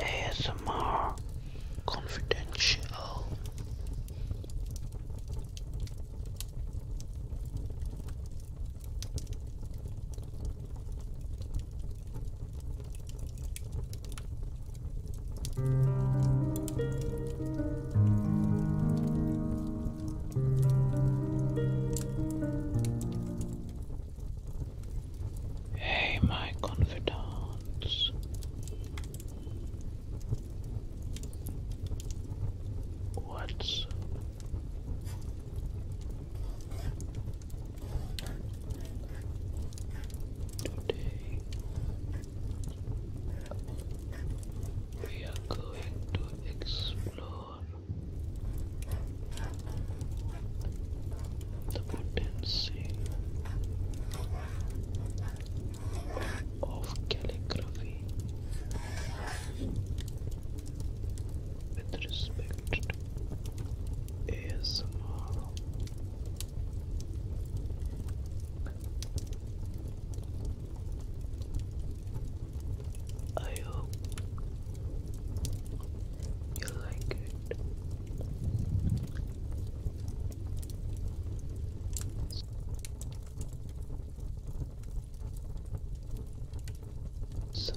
ASMR Confidential. Hey, my confidants. What's Today we are going to explore the potency of calligraphy with respect Unhinged ASMR. I hope you like it. So,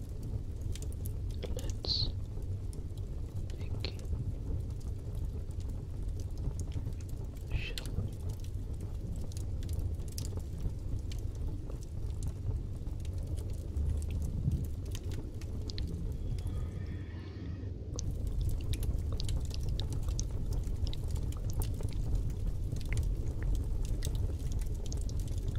Let's think. Shall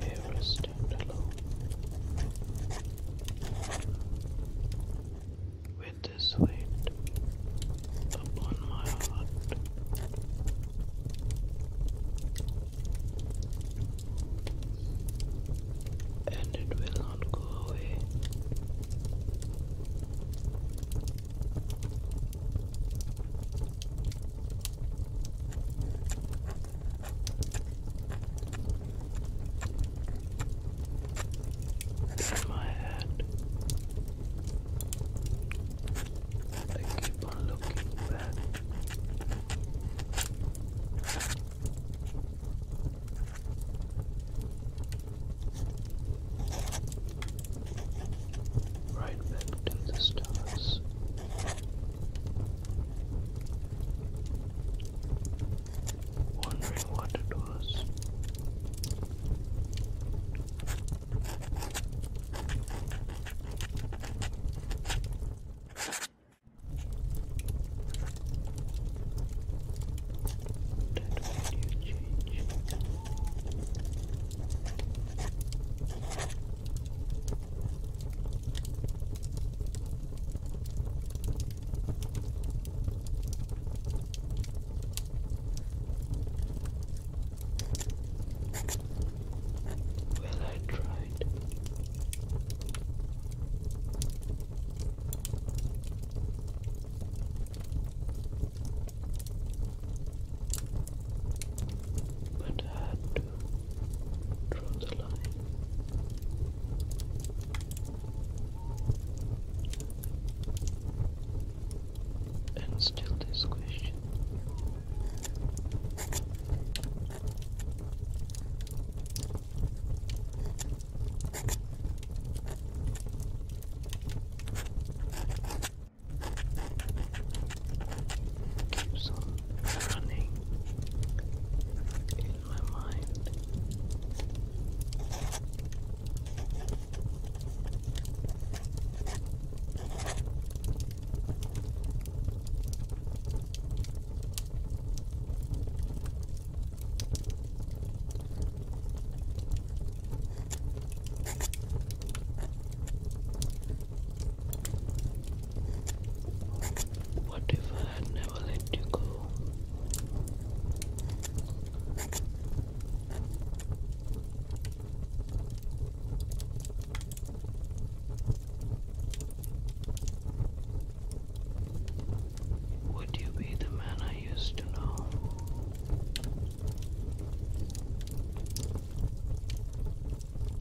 They're a standalone with this weight upon my heart. And it will not go away from my head. I keep on looking back. Right back to the stars wondering what it was. That you change. Well, I tried. But I draw the line. And still this question. Keeps on running in my mind. What if I had never let you go? Would you be the man I used to know?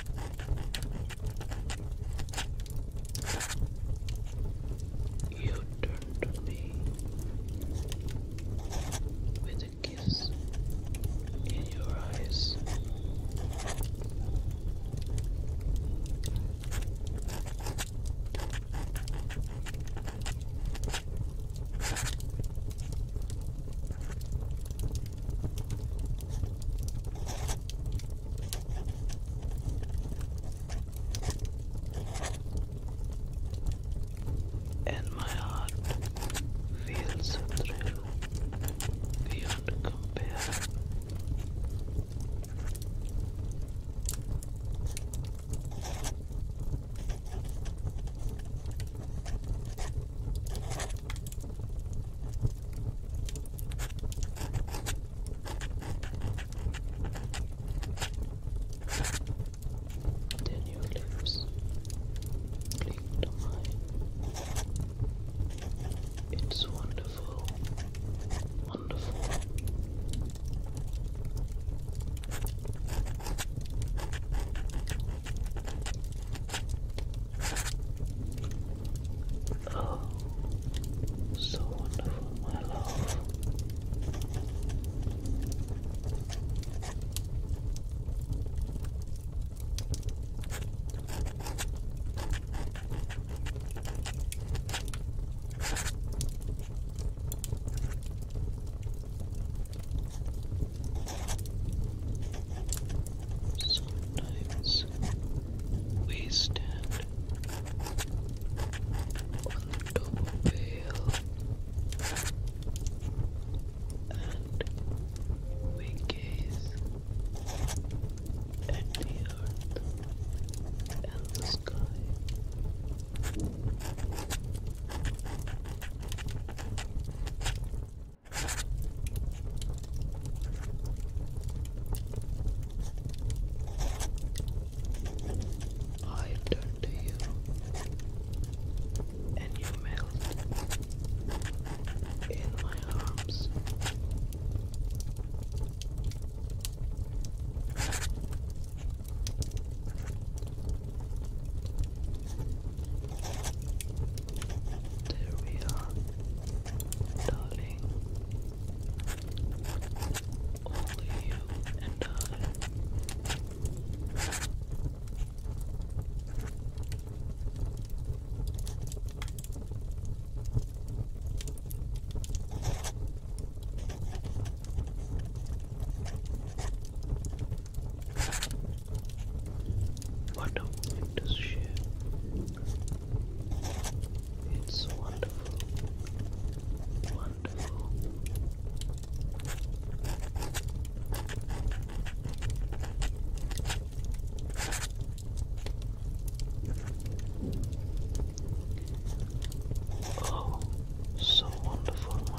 You turn to me with a kiss in your eyes and my heart feels a thrill beyond compare. Then your lips cling to mine. It's wonderful, wonderful. Oh, so wonderful, my love. Sometimes we stand on the top of a hill and we gaze at the earth and the sky. I have to you and you melt in my arms. There we are, darling. Only you and I. What a victory! It's wonderful. Wonderful. Oh, so wonderful.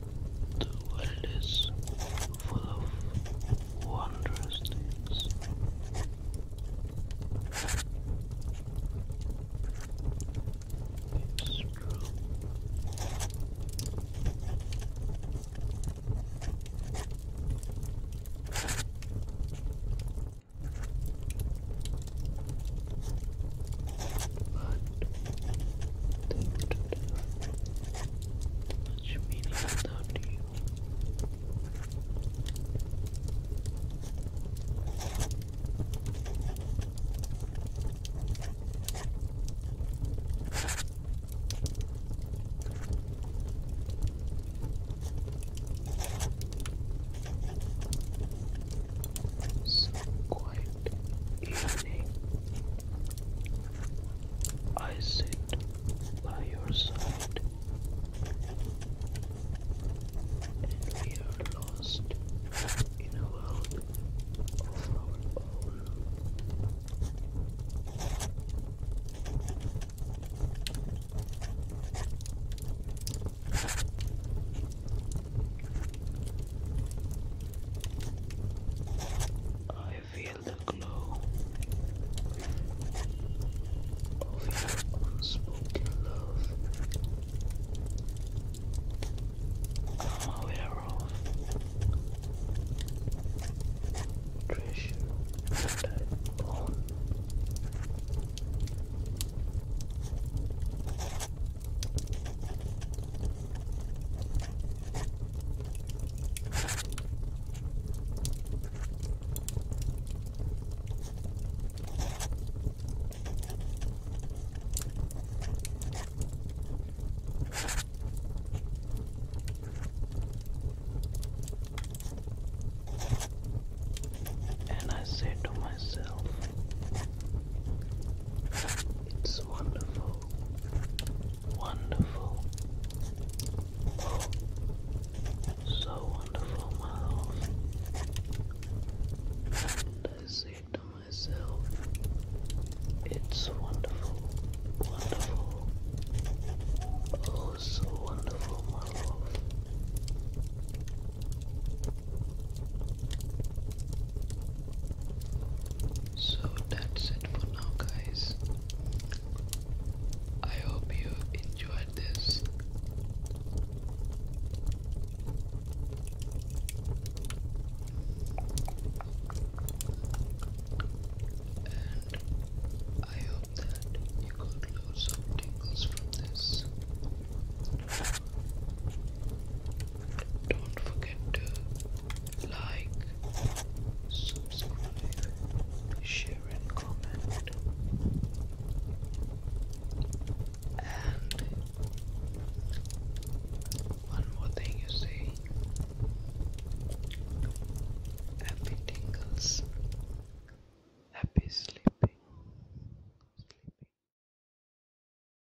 The world is full of wondrous things. It's true. But think to much meaning without you. So quiet evening I sit by your side, and we are lost in a world of our own. I feel the glow of unspoken love. I'm aware of treasure that and I say to myself, it's wonderful wonderful. Oh, so wonderful, my love. And I say to myself, it's wonderful, wonderful. Oh, so wonderful, my love. So that's it for now, guys. I hope you enjoyed this. And I hope that you could lose some tingles from this. Don't forget to like, subscribe, share, and comment. And one more thing you say happy tingles, happy sleeping. sleeping.